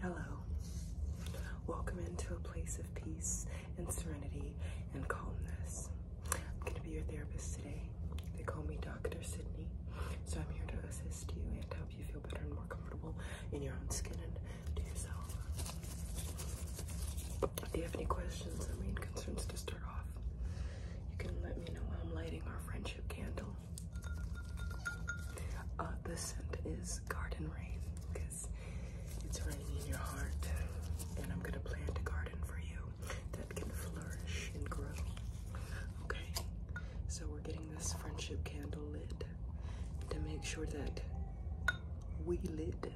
Hello. Welcome into a place of peace and serenity and calmness. I'm going to be your therapist today. They call me Dr. Sydney. So I'm here to assist you and help you feel better and more comfortable in your own skin and to yourself. If you have any questions or main concerns to start off, you can let me know. I'm lighting our friendship candle. Uh, the scent is Garden Rain because it's raining in your heart, and I'm gonna plant a garden for you that can flourish and grow. Okay, so we're getting this friendship candle lit to make sure that we lit.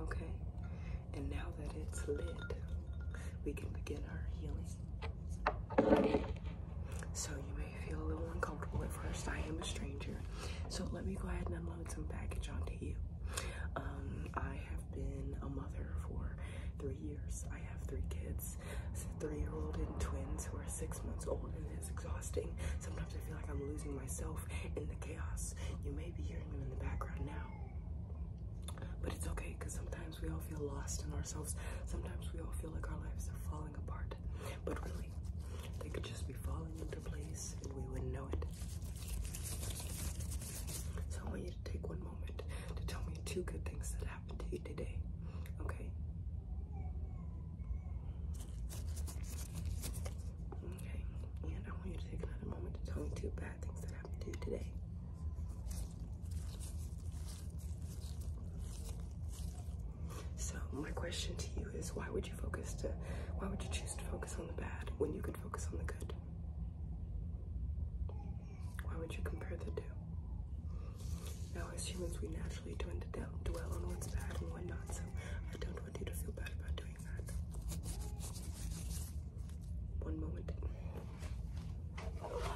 Okay, and now that it's lit, we can begin our healing. So you may feel a little uncomfortable at first. I am a stranger. So let me go ahead and unload some baggage onto you. Um, I have been a mother for three years. I have three kids, a three-year-old and twins who are six months old and it's exhausting. Sometimes I feel like I'm losing myself in the chaos. You may be hearing them in the background now, but it's okay because sometimes we all feel lost in ourselves. Sometimes we all feel like our lives are falling apart. But really, they could just be falling into place and we wouldn't know it. So I want you to take one moment to tell me two good things that happened to you today. Okay? Okay. And I want you to take another moment to tell me two bad things that happened to you today. So my question to you is why would you focus to why would you choose to focus on the bad when you could focus on the good? Why would you compare the two? Now as humans we naturally tend to dwell on what's bad and what not, so I don't want you to feel bad about doing that. One moment.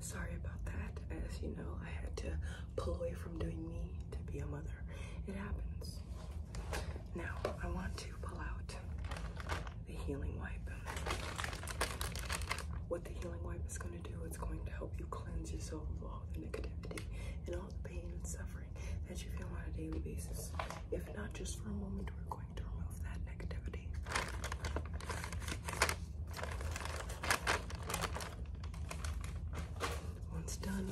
Sorry about that. As you know, I had to pull away from doing me to be a mother. It happens. Now, I want to pull out the healing wipe. What the healing wipe is going to do, it's going to help you cleanse yourself of all the negativity and all the pain and suffering that you feel on a daily basis. If not, just for a moment, we're going to remove that negativity. Once done,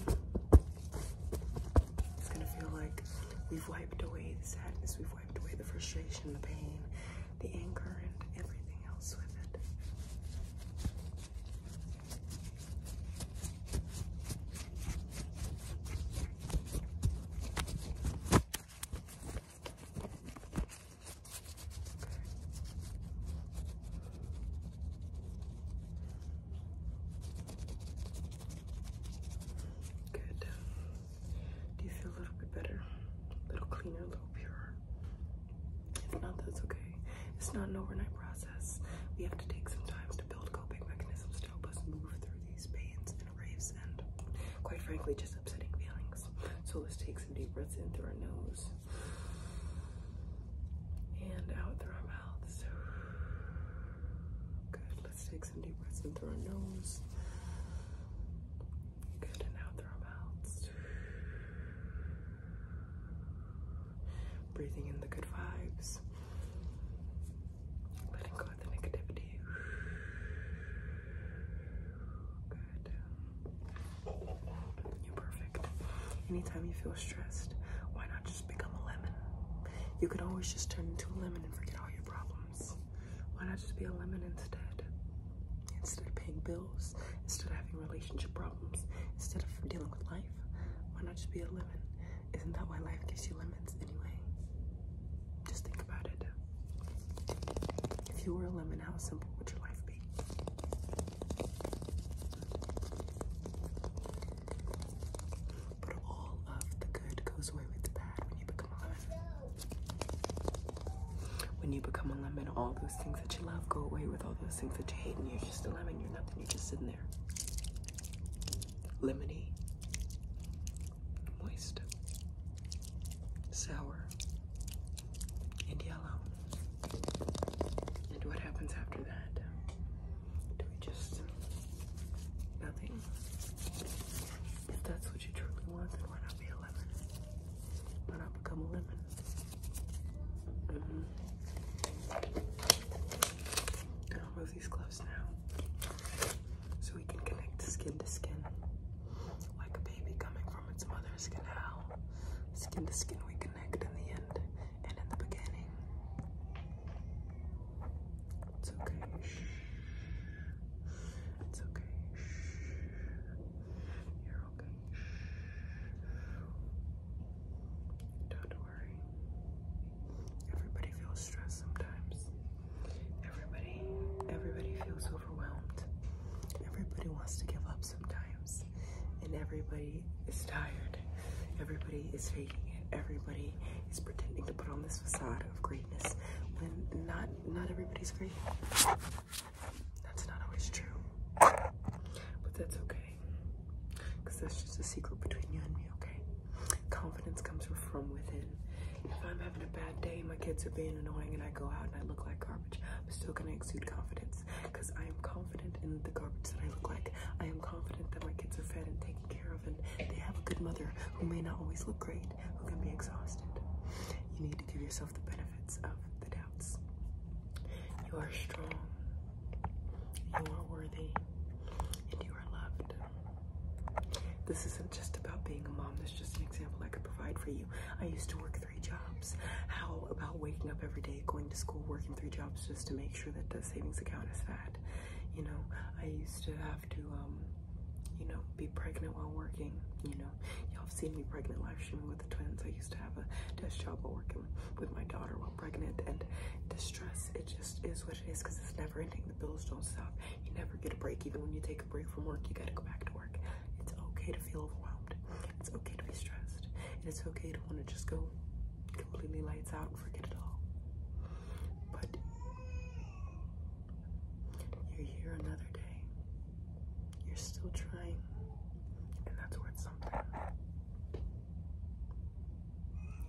it's going to feel like we've wiped away the sadness, we've wiped away the frustration, the pain, the anchor and everything else with it. Good. Do you feel a little bit better? A little cleaner, a little purer? If not, that's okay. It's not an overnight process. We have to take some time to build coping mechanisms to help us move through these pains and waves, and, quite frankly, just upsetting feelings. So let's take some deep breaths in through our nose and out through our mouths. Good. Let's take some deep breaths in through our nose. Good. And out through our mouths. Breathing in the good vibes. Letting go of the negativity. You're perfect. Anytime you feel stressed, why not just become a lemon? You could always just turn into a lemon and forget all your problems. Why not just be a lemon instead? Instead of paying bills, instead of having relationship problems, instead of dealing with life, why not just be a lemon? Isn't that why life gives you lemons anyway? Just think about it. If you were a lemon, how simple would your life be? But all of the good goes away with the bad when you become a lemon. When you become a lemon, all those things that you love go away with all those things that you hate, and you're just a lemon. You're nothing. You're just sitting there. Lemony, moist, sour, and yellow. And what happens after that? Do we just nothing? If that's what you truly want, then why not be a lemon? when I become a woman. Mm-hmm. I'll move these gloves now so we can connect skin to skin. Like a baby coming from its mother's canal. Skin to skin we connect in the end and in the beginning. It's okay. It's okay. Don't worry. Everybody feels stressed sometimes. Everybody, everybody feels overwhelmed. Everybody wants to give up sometimes. And everybody is tired. Everybody is faking it. Everybody is pretending to put on this facade of greatness when not not everybody's great. That's not always true. But that's okay. Because that's just a secret between you and me, okay? Confidence comes from within. If I'm having a bad day, my kids are being annoying, and I go out and I look like garbage, I'm still going to exude confidence. Because I am confident in the garbage that I look like. I am confident that my kids are fed and taken care of, and they have a good mother who may not always look great, who can be exhausted. You need to give yourself the benefit of the doubts. You are strong, you are worthy, and you are loved. This isn't just about being a mom, This is just an example I could provide for you. I used to work three jobs. How about waking up every day, going to school, working three jobs just to make sure that the savings account is fat? You know, I used to have to, um, you know, be pregnant while working. You know, y'all have seen me pregnant live stream with the twins. I used to have a desk job while working with my daughter while pregnant and distress. It just is what it is because it's never ending. The bills don't stop. You never get a break. Even when you take a break from work, you got to go back to work. It's okay to feel overwhelmed. It's okay to be stressed. And it's okay to want to just go completely lights out forget it all. But you're here another day. You're still trying, and that's worth something.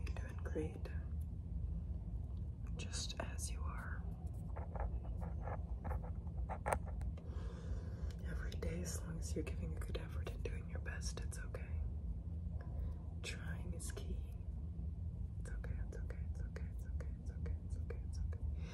You're doing great, just as you are. Every day, as long as you're giving a good effort and doing your best, it's okay. Trying is key. It's okay, it's okay, it's okay, it's okay, it's okay, it's okay, it's okay.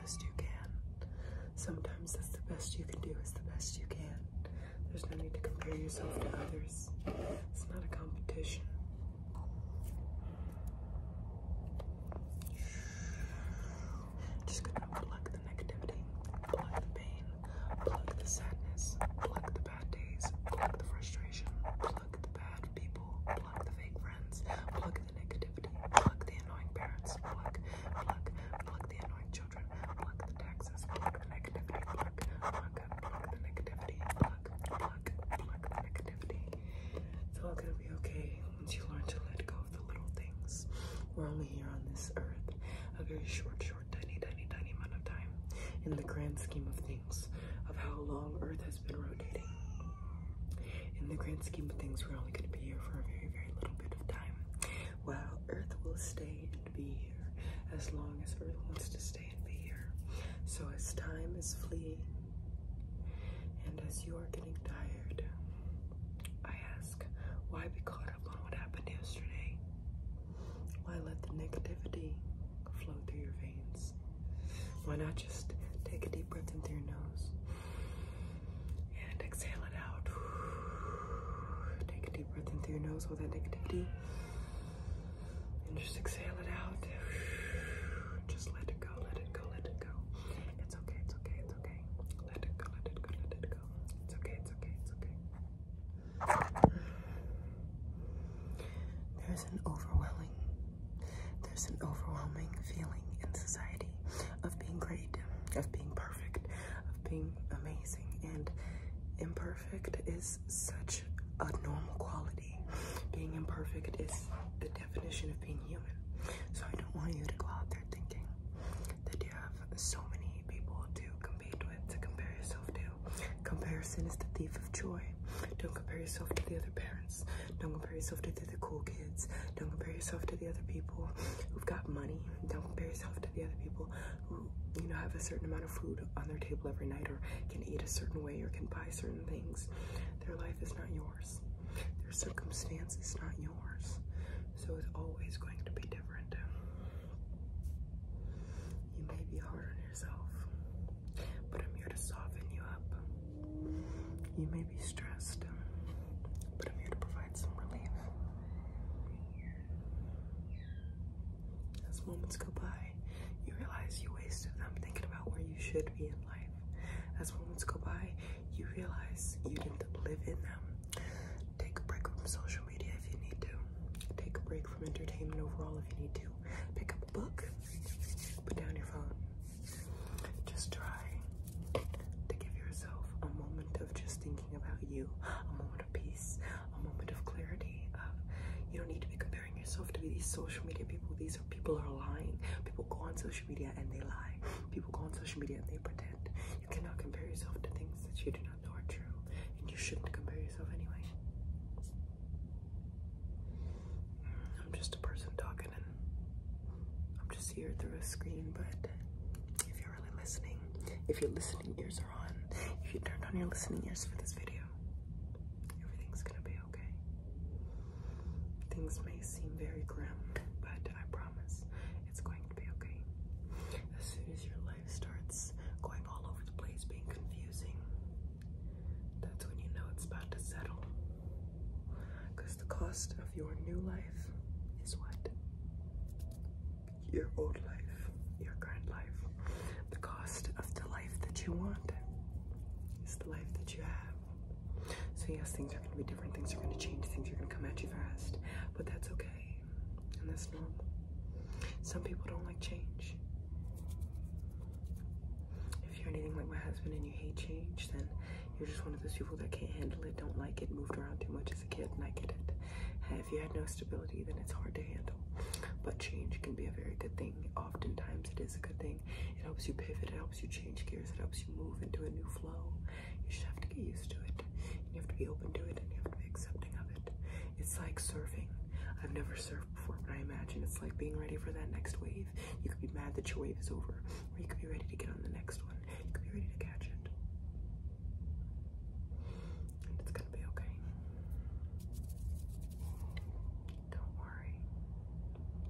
best you can. Sometimes that's the best you can do is the best you can. There's no need to compare yourself to others. It's not a competition. Just gonna unplug the negativity, plug the pain, plug the sadness, plug the bad days, plug the frustration, plug the bad people, plug the fake friends, plug the negativity, pluck the annoying parents, pluck, pluck, pluck the annoying children, pluck the taxes, pluck the negativity, pluck, pluck, pluck the negativity. It's all gonna be okay once you learn to let go of the little things. We're only here on this earth a very short, short, tiny, tiny, tiny amount of time in the grand scheme of things, of how long Earth has been rotating in the grand scheme of things, we're only going to be here for a very, very little bit of time. While Earth will stay and be here as long as Earth wants to stay and be here. So as time is fleeing and as you are getting tired, I ask, why be caught up on what happened yesterday? Why let the negativity flow through your veins? Why not just take a deep breath in through your nose and exhale it out. Take a deep breath in through your nose, all that negativity. And just exhale it out. Just let it go, let it go, let it go. It's okay, it's okay, it's okay. Let it go, let it go, let it go. It's okay, it's okay, it's okay. There's an overwhelming, there's an overwhelming feeling in society of being great, of being perfect, of being amazing. And imperfect is such a normal quality. Being imperfect is the definition of being human. So I don't want you to go out there thinking that you have so many people to compete with, to compare yourself to. Comparison is the thief of joy. Don't compare yourself to the other parents. Don't compare yourself to this the cool kids. Don't compare yourself to the other people who've got money. Don't compare yourself to the other people who, you know, have a certain amount of food on their table every night or can eat a certain way or can buy certain things. Their life is not yours. Their circumstances not yours. So it's always going to be different. You may be hard on yourself, but I'm here to soften you up. You may be stressed, but I'm here to provide some relief. As moments go by, you realize you wasted them thinking about where you should be in life. As moments go by, you realize you didn't live in them. Take a break from social media if you need to. Take a break from entertainment overall if you need to. Pick up a book, put down your phone. Just try to give yourself a moment of just thinking about you, a moment of peace, a moment of clarity. Of, you don't need to be comparing yourself to these social media people. These are people are lying. People go on social media and they lie. People go on social media and they pretend. You cannot compare yourself to things that you do not know are true, and you shouldn't compare yourself anyway. I'm just a person talking, and I'm just here through a screen, but. If you're you're If your listening ears are on, if you turned on your listening ears for this video, everything's gonna be okay. Things may seem very grim, but I promise it's going to be okay. As soon as your life starts going all over the place, being confusing, that's when you know it's about to settle. Because the cost of your new life is what? Your old life, your current life. The cost of the life that you want is the life that you have. So, yes, things are going to be different, things are going to change, things are going to come at you fast, but that's okay. And that's normal. Some people don't like change. If you're anything like my husband and you hate change, then you're just one of those people that can't handle it, don't like it, moved around too much, kid, and I get it. if you had no stability, then it's hard to handle. But change can be a very good thing. Oftentimes, it is a good thing. It helps you pivot, it helps you change gears, it helps you move into a new flow. You just have to get used to it. You have to be open to it, and you have to be accepting of it. It's like surfing. I've never surfed before, but I imagine it's like being ready for that next wave. You could be mad that your wave is over, or you could be ready to get on the next one. You can be ready to catch it. And it's gonna be okay. Don't worry.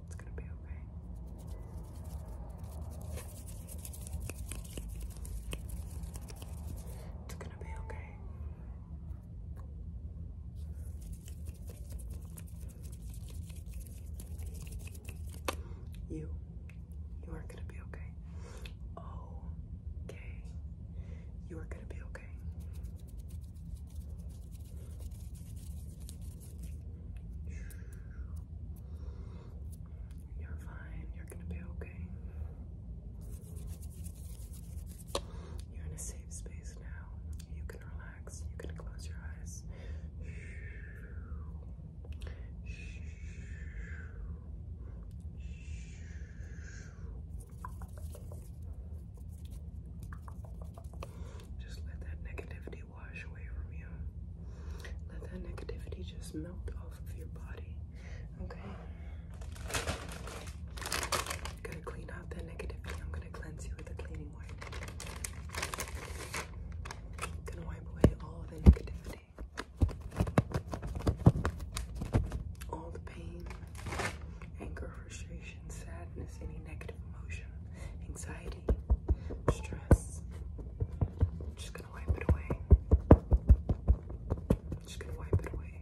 It's gonna be okay. It's gonna be okay. You you are gonna be okay. Okay. You are gonna be okay. You're fine. You're gonna be okay. You're in a safe space now. You can relax. You can close your eyes. Just let that negativity wash away from you. Let that negativity just melt off of your body. Okay? I'm gonna clean out that negativity. I'm gonna cleanse you with a cleaning wipe. gonna wipe away all the negativity. All the pain, anger, frustration, sadness, any negative emotion, anxiety, stress. just gonna wipe it away. just gonna wipe it away.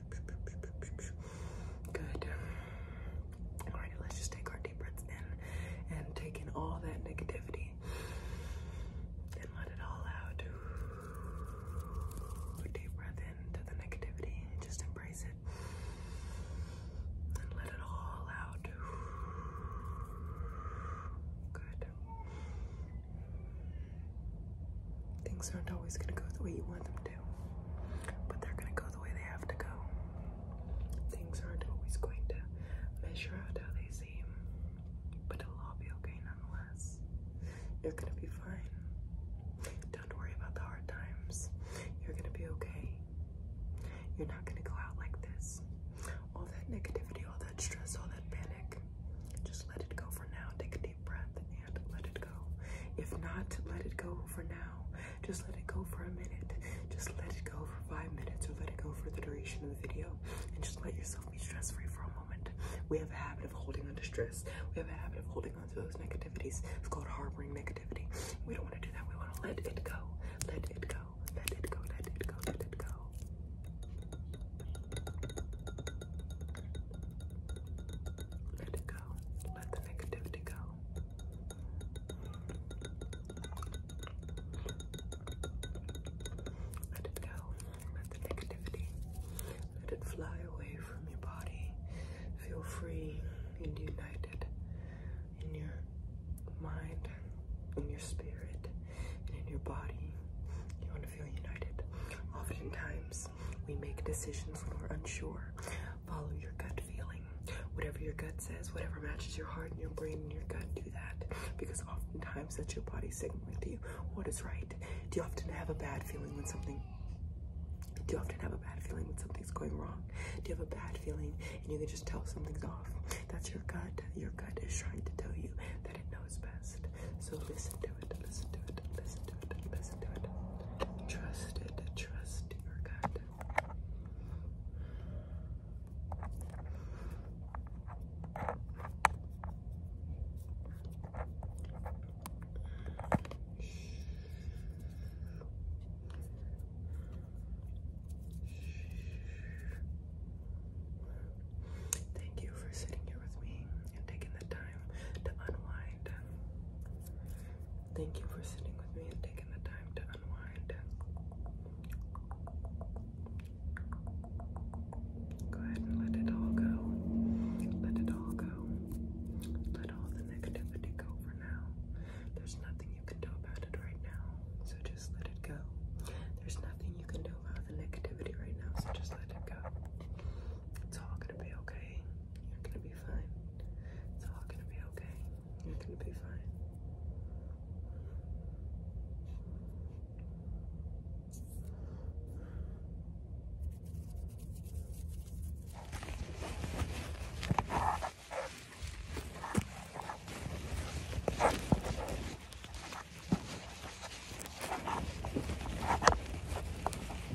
Good. All right, let's just take our deep breaths in and take in all that negativity and let it all out. Deep breath into the negativity, just embrace it and let it all out. Good. Things aren't always going to go the way you want them to, but they're going to go the way they have to go. Things aren't always going to measure out how they seem, but it'll all be okay nonetheless. You're going to be fine. Don't worry about the hard times. You're going to be okay. You're not going to go out like this. All that negativity, all that stress, all that panic, just let it go for now. Take a deep breath let it go. If not, let it go for now. Just let it go for a minute. Just let it go for five minutes or let it go for the duration of the video. And just let yourself be stress free for a moment. We have a habit of holding on to stress, we have a habit of holding on to those negativities. It's called harboring negativity. We don't want to do that. We want to Let it go. Let it go. Let it go. Let it go. Let it go. Let it go. Let the negativity go. Let it go. Let the negativity. Let it fly away from your body. Feel free and united in your mind, in your spirit, and in your body. You want to feel united. Oftentimes, we make decisions when we're unsure. Follow your gut feeling. Whatever your gut says, whatever matches your heart and your brain and your gut, do that. Because oftentimes that's your body signaling to you what is right. Do you often have a bad feeling when something do you often have a bad feeling when something's going wrong? Do you have a bad feeling and you can just tell something's off? That's your gut. Your gut is trying to tell you that it knows best. So listen to it, it, Trust it, trust your God. Thank you for sitting here with me and taking the time to unwind. Thank you for sitting with me and taking the time to unwind. Go ahead and let it all go. Let it all go. Let all the negativity go for now. There's nothing you can do about it right now, so just let it go. There's nothing you can do about the negativity right now, so just let it go. It's all gonna be okay. You're gonna be fine. It's all gonna be okay. You're gonna be fine.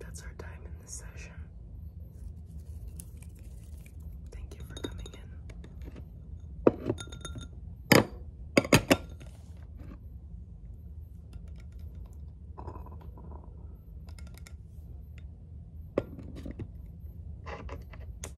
That's our time in the session. Thank you for coming in.